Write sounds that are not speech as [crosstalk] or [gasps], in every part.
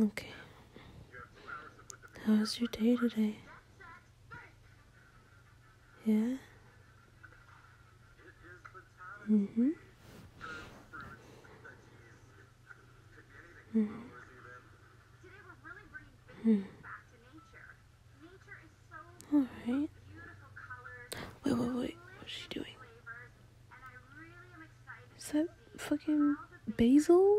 Okay. How was your day today? Yeah? Mm hmm. hmm. Hmm. Alright. Wait, wait, wait. What's she doing? Is that fucking basil?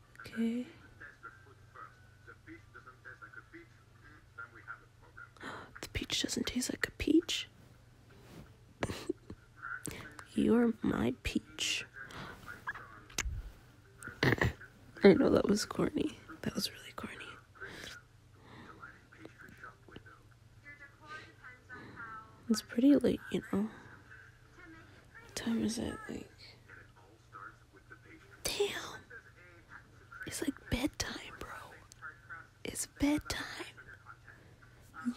Okay. [gasps] the peach doesn't taste like a peach. [laughs] You're my peach. [laughs] I know that was corny. That was really corny. It's pretty late, you know. What time is it? Like Damn. It's like bedtime, bro. It's bedtime.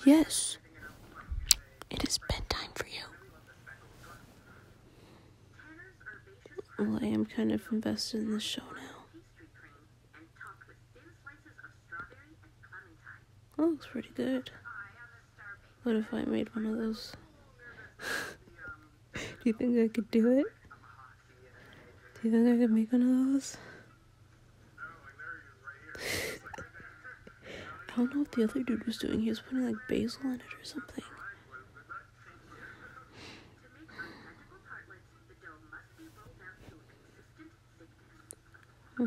Yes. It is bedtime for you. Well, I am kind of invested in the show now. That looks pretty good. What if I made one of those? [laughs] Do you think I could do it? Do you think I could make one of those? I don't know what the other dude was doing. He was putting like basil in it or something. Hmm.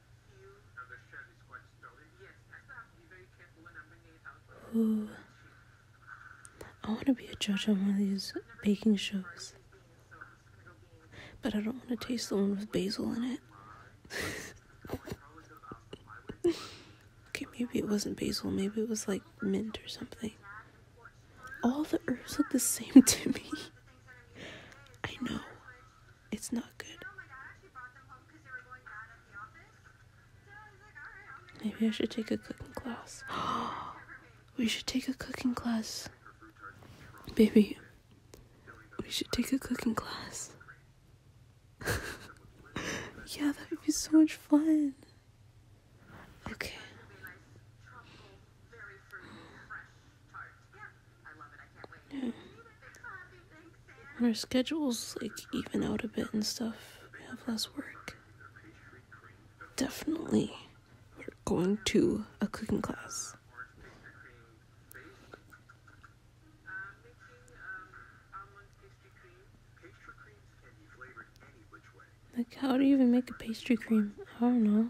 Ooh. I want to be a judge on one of these baking shows. But I don't want to taste the one with basil in it. [laughs] okay, maybe it wasn't basil. Maybe it was like mint or something. All the herbs look the same to me. [laughs] I know. It's not good. Maybe I should take a cooking class. [gasps] we should take a cooking class. Baby, we should take a cooking class. [laughs] yeah, that would be so much fun. Okay. Yeah. [sighs] When our schedules like even out a bit and stuff, we have less work. Definitely, we're going to a cooking class. Like, how do you even make a pastry cream? I don't know.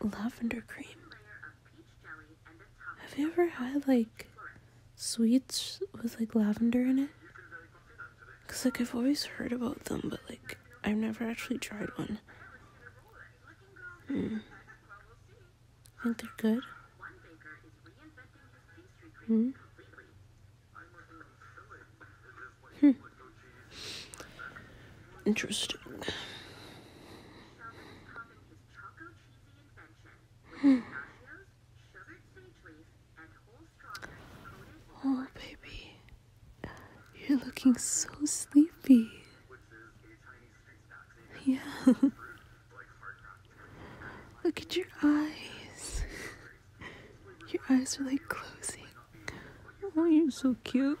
Lavender cream. Have you ever had like sweets with like lavender in it? Cause like I've always heard about them, but like I've never actually tried one. Hmm. I think they're good. Hmm. Hmm. Interesting. Hmm. Oh, baby. You're looking so sleepy. Yeah. [laughs] Look at your eyes. Your eyes are like closing. Oh, you're so cute.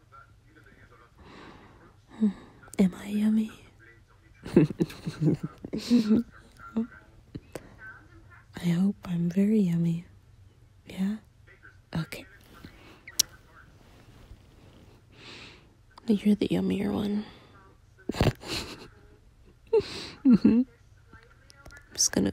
[laughs] Am I yummy? [laughs] I hope I'm very yummy. Yeah? Okay. You're the yummiest one. [laughs] I'm just gonna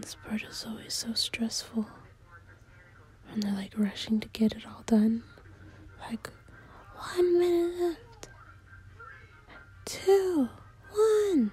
This part is always so stressful and they're like rushing to get it all done. Like, one minute left, two, one.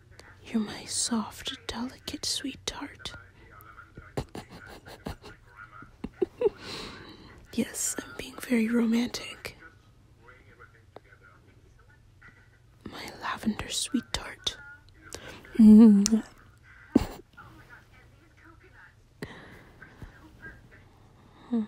You're my soft, delicate, sweetheart. [laughs] yes, I'm being very romantic. My lavender sweetheart. tart. [laughs] [laughs]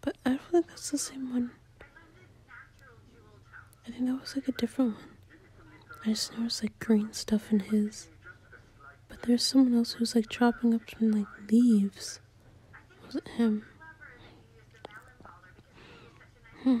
But I don't think that's the same one. I think that was like a different one. I just know noticed like green stuff in his. But there's someone else who's like chopping up some like leaves. Was it him? Hmm.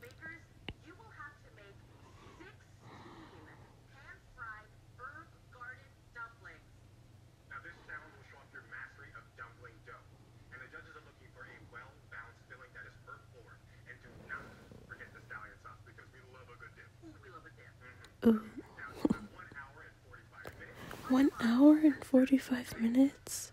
Bakers, you will have to make 16 pan-fried herb garden dumplings. Now this challenge will show off your mastery of dumpling dough. And the judges are looking for a well-balanced filling that is herb-forward. And do not forget the stallion sauce we love a good dip. we love a dip. mm Ooh. One hour and 45 minutes?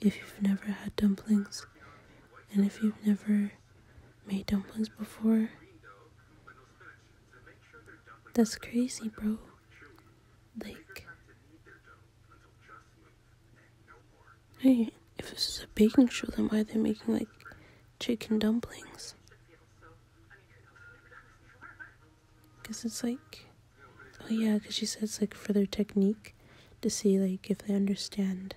if you've never had dumplings and if you've never made dumplings before. That's crazy, bro. Like, hey, if this is a baking show, then why are they making like chicken dumplings? Because it's like, oh yeah, because she said it's like for their technique to see like if they understand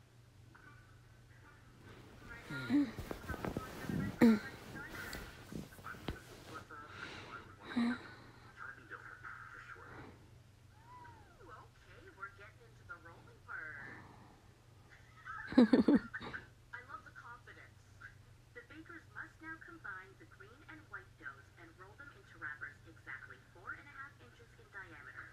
I [laughs] love [laughs] [laughs] the confidence. The bakers must now combine the green and white doughs and roll them into wrappers exactly four and a half inches in diameter.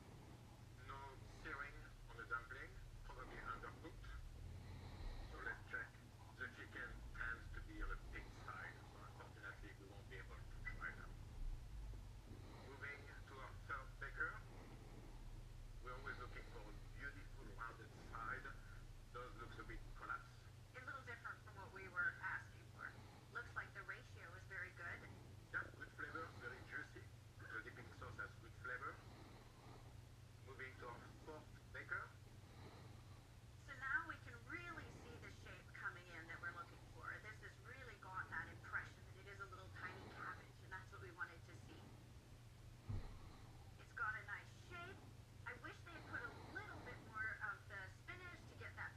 No searing on the dumpling, probably undercooked. So let's check. The chicken tends to be on the pig side, unfortunately we won't be able to try them. Moving to our third baker. We're always looking for a beautiful rounded side. Those looks a bit collapsed. A little different from what we were asking for. Looks like the ratio is very good. Yeah, good flavor, very juicy. The dipping sauce has good flavor. Moving to our fourth baker. So now we can really see the shape coming in that we're looking for. This has really got that impression that it is a little tiny cabbage, and that's what we wanted to see. It's got a nice shape. I wish they had put a little bit more of the spinach to get that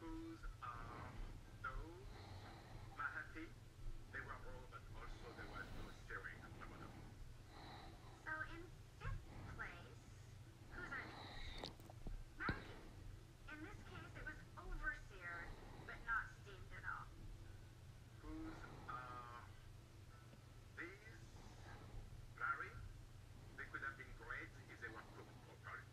whose um, So in fifth place, whose are In this case, it was overseer, but not steamed at all. Whose uh, these Larry? They could have been great if they were cooked properly.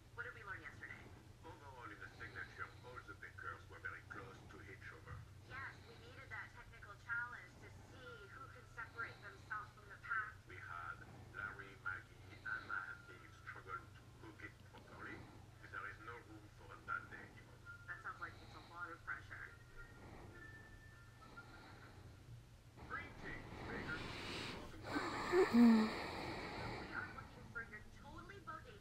What did we learn yesterday? Overall, in the signature, all the big girls were very close to each other. Yes, we needed that technical challenge to see who could separate themselves from the pack. We had Larry, Maggie, and Mahathir struggle to hook it properly. There is no room for a That sounds like it's a lot of pressure. Greetings, [laughs] We are looking for your totally bodacious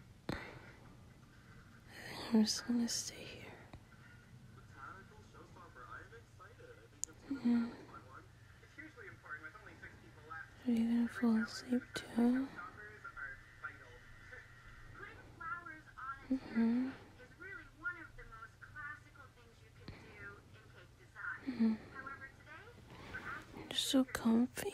I think I'm just gonna stay here. Yeah. Are you gonna fall asleep too? Mm-hmm. Mm-hmm. You're so comfy.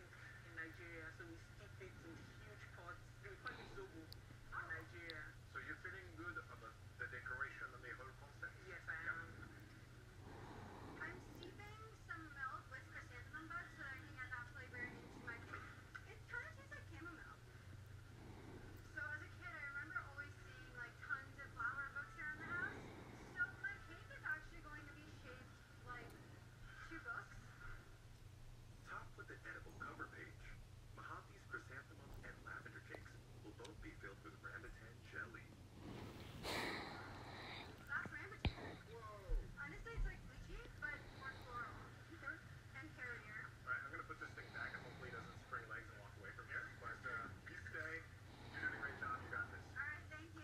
drink so you're feeling good about the decoration and the whole concept? Yes, I I'm steeping some milk with chrysanthemum so that I can get that flavor into my drink. It kind of tastes like chamomile. So as a kid, I remember always seeing like tons of flower books around the house. So my cake is actually going to be shaped like, two books? Top with an edible cover page. Mahathi's chrysanthemum and lavender cakes will both be filled with rambutan jelly. That's rambutan. Whoa. Honestly, it's like lychee, but more floral. and carrotier. Alright, I'm gonna put this thing back and hopefully it doesn't spring legs and walk away from here. But, uh, you stay. You're doing a great job. You got this. Alright, thank you.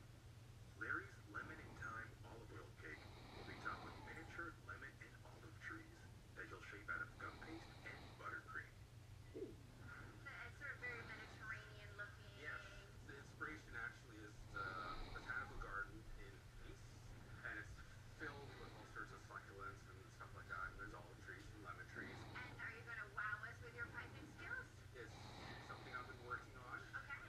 Larry's Lemon and Thyme Olive Oil Cake will be topped with miniature lemon and olive trees that you'll shape out of gum paste and buttercream. It's sort of very Mediterranean looking. Yes, the inspiration actually is uh, the botanical garden in Nice, and it's filled with all sorts of succulents and stuff like that. there's olive trees and lemon trees. And are you going to wow us with your piping skills? It's something I've been working on. Okay.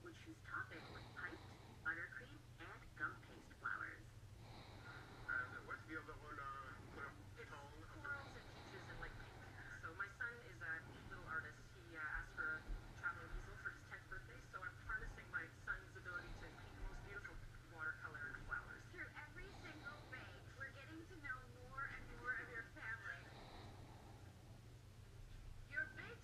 which is topping with piped buttercream and gum paste flowers. Uh, what's the other one? Uh, it's corals and peaches and like pink. So my son is a little artist. He uh, asked for a traveling easel for his 10th birthday, so I'm harnessing my son's ability to paint the most beautiful watercolor flowers. Through every single bake, we're getting to know more and more of your family. Your baked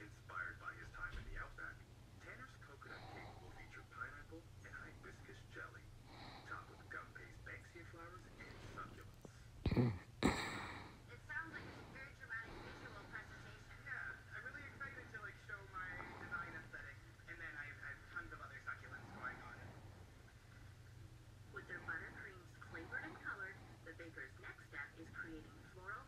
Inspired by his time in the Outback, Tanner's coconut cake will feature pineapple and hibiscus jelly, topped with gum paste, banksia flowers, and succulents. it sounds like a very dramatic visual presentation. Yeah, I'm really excited to like show my design aesthetic, and then I have, I tons of other succulents going on. With their buttercreams flavored and colored, the baker's next step is creating floral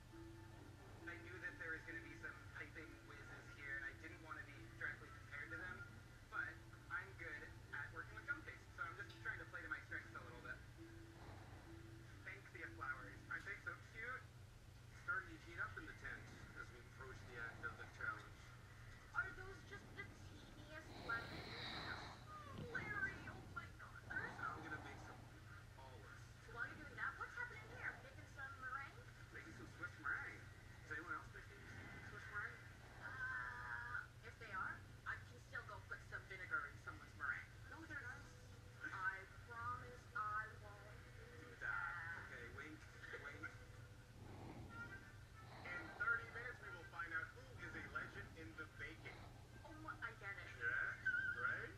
I knew that there was going to be some piping whizzes here, and I didn't want to be directly compared to them, but I'm good at working with jump so I'm just trying to play to my strengths a little bit. Banksia flowers. Aren't they so cute? It's starting heat up in the tent as we approach the end of the challenge. Are those just the teeniest lemons? Oh, Larry, oh my god, I'm going to make some olives. While you're doing that, what's happening here? Making some meringue? Making some Swiss meringue. Is anyone else making Swiss meringue? Uh, if they are, I can still go put some vinegar in someone's meringue. No, they're not. I promise I won't do that. Okay, wink, wink. in 30 minutes, we will find out who is a legend in the baking. Oh, I get it. Yeah, right?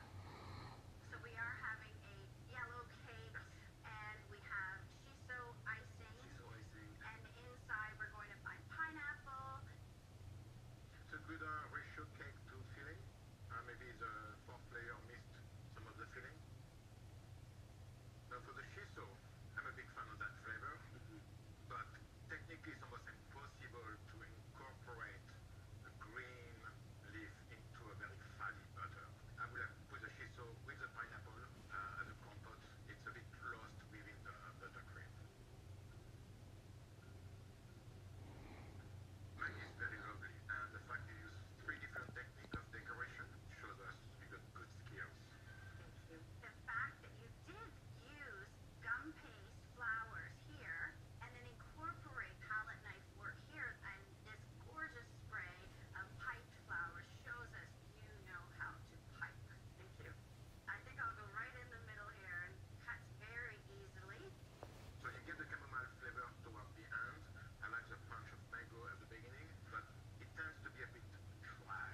So we we we're are having a a yellow cake, cake and and have icing, inside going to find pineapple. It's good uh, filling. filling. Uh, maybe the the player missed some of Now for the shiso, I'm a big fan of that flavor, mm-hmm. but technically it's almost impossible to incorporate the green leaf into a very fatty butter. I will have put the shiso with the pineapple and the compote. It's a bit lost within the buttercream. Mine is very lovely, and the fact you use three different techniques of decoration shows us you got good skills. Thank you. The fact that you did use gum paste, flowers here, and then incorporate palette knife work here. And this gorgeous spray of pipe flowers shows us you know how to pipe. Thank you. I think I'll go right in the middle here and cuts very easily. So you get the chamomile flavor towards the end. I like the punch of mango at the beginning, but it tends to be a bit dry.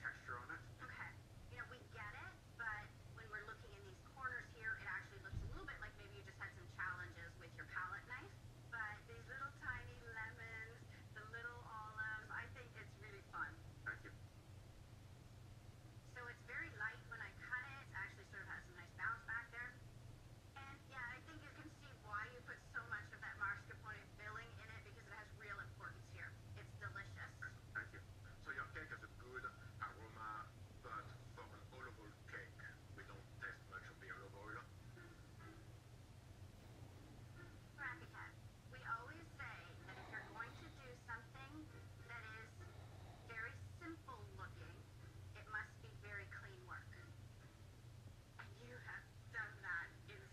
texture on it. Okay. You know, we get it, but when we're looking in these corners here, it actually looks a little bit like maybe you just had some challenges with your palette knife. But these little tiny lemons, the little olives, I think it's really fun. Thank you. So it's very light when I cut it. It actually sort of has some nice bounce back there. And yeah, I think you can see why you put so much of that Mars filling in it because it has real importance here. It's delicious. Thank you. So your cake has a good aroma, but for an olive oil cake, we don't taste much of the olive oil. Brackethead, we always say that if you're going to do something that is very simple looking, it must be very clean work. And you have done that in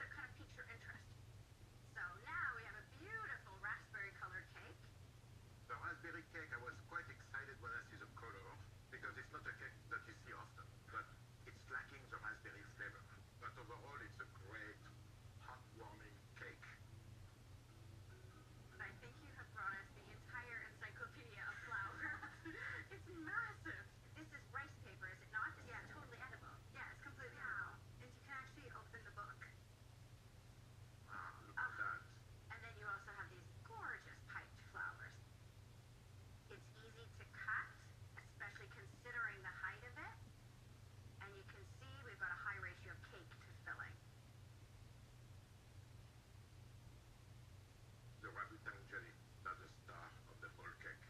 to kind of pique your interest. So now we have a beautiful raspberry colored cake. The raspberry cake, I was quite excited when I see the color, because it's not a cake that you see often, but it's lacking the raspberry flavor. But overall, it's a great, heartwarming cake. I think you have brought us the entire encyclopedia of flour. [laughs] it's massive. This is rice paper, is it not? Yeah, totally edible. Yeah, it's completely edible. And you can actually open the book. Wow, ah, look ah, And then you also have these gorgeous piped flowers. It's easy to cut, especially considering the height of it. And you can see we've got a high ratio of cake to filling. The rabbit tangerine, that's the star of the whole cake.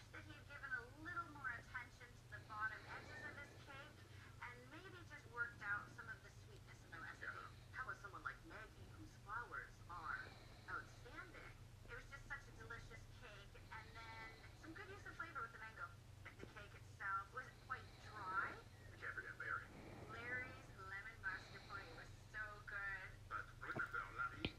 wish that he'd given a little more attention to the bottom edges of his cake and maybe just worked out some of the sweetness in the recipe. Yeah. How was someone like Maggie, whose flowers are outstanding? It was just such a delicious cake, and then some good use of flavor with the mango. But the cake itself was quite dry. We can't forget Larry. Larry's lemon mascarpone was so good. But remember, la vie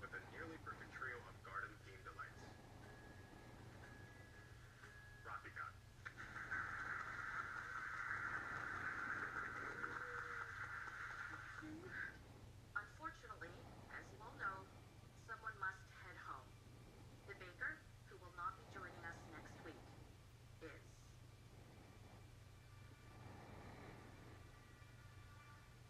with a nearly perfect trio of garden-themed delights. Rafika. Unfortunately, as you all know, someone must head home. The baker, who will not be joining us next week, is...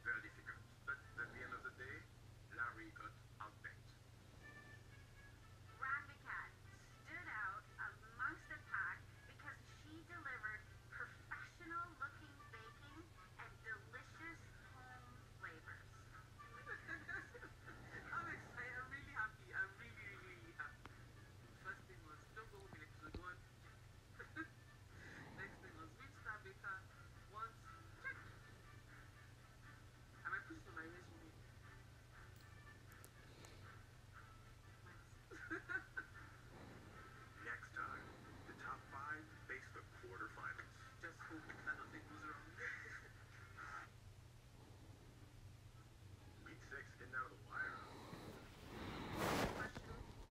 very difficult. But at the end of the day, Larry got outbanked. Rambicat stood out amongst the pack because she delivered professional-looking baking and delicious home flavors. [laughs] I'm excited. I'm really happy. I'm really, really, really happy. First thing was, don't go home, Alex. Go and Next thing was which star baker wants check. Am I pushing my resume? Next time, the top five face the quarterfinals. Just hope that nothing goes wrong. Beat six, getting out of the wire.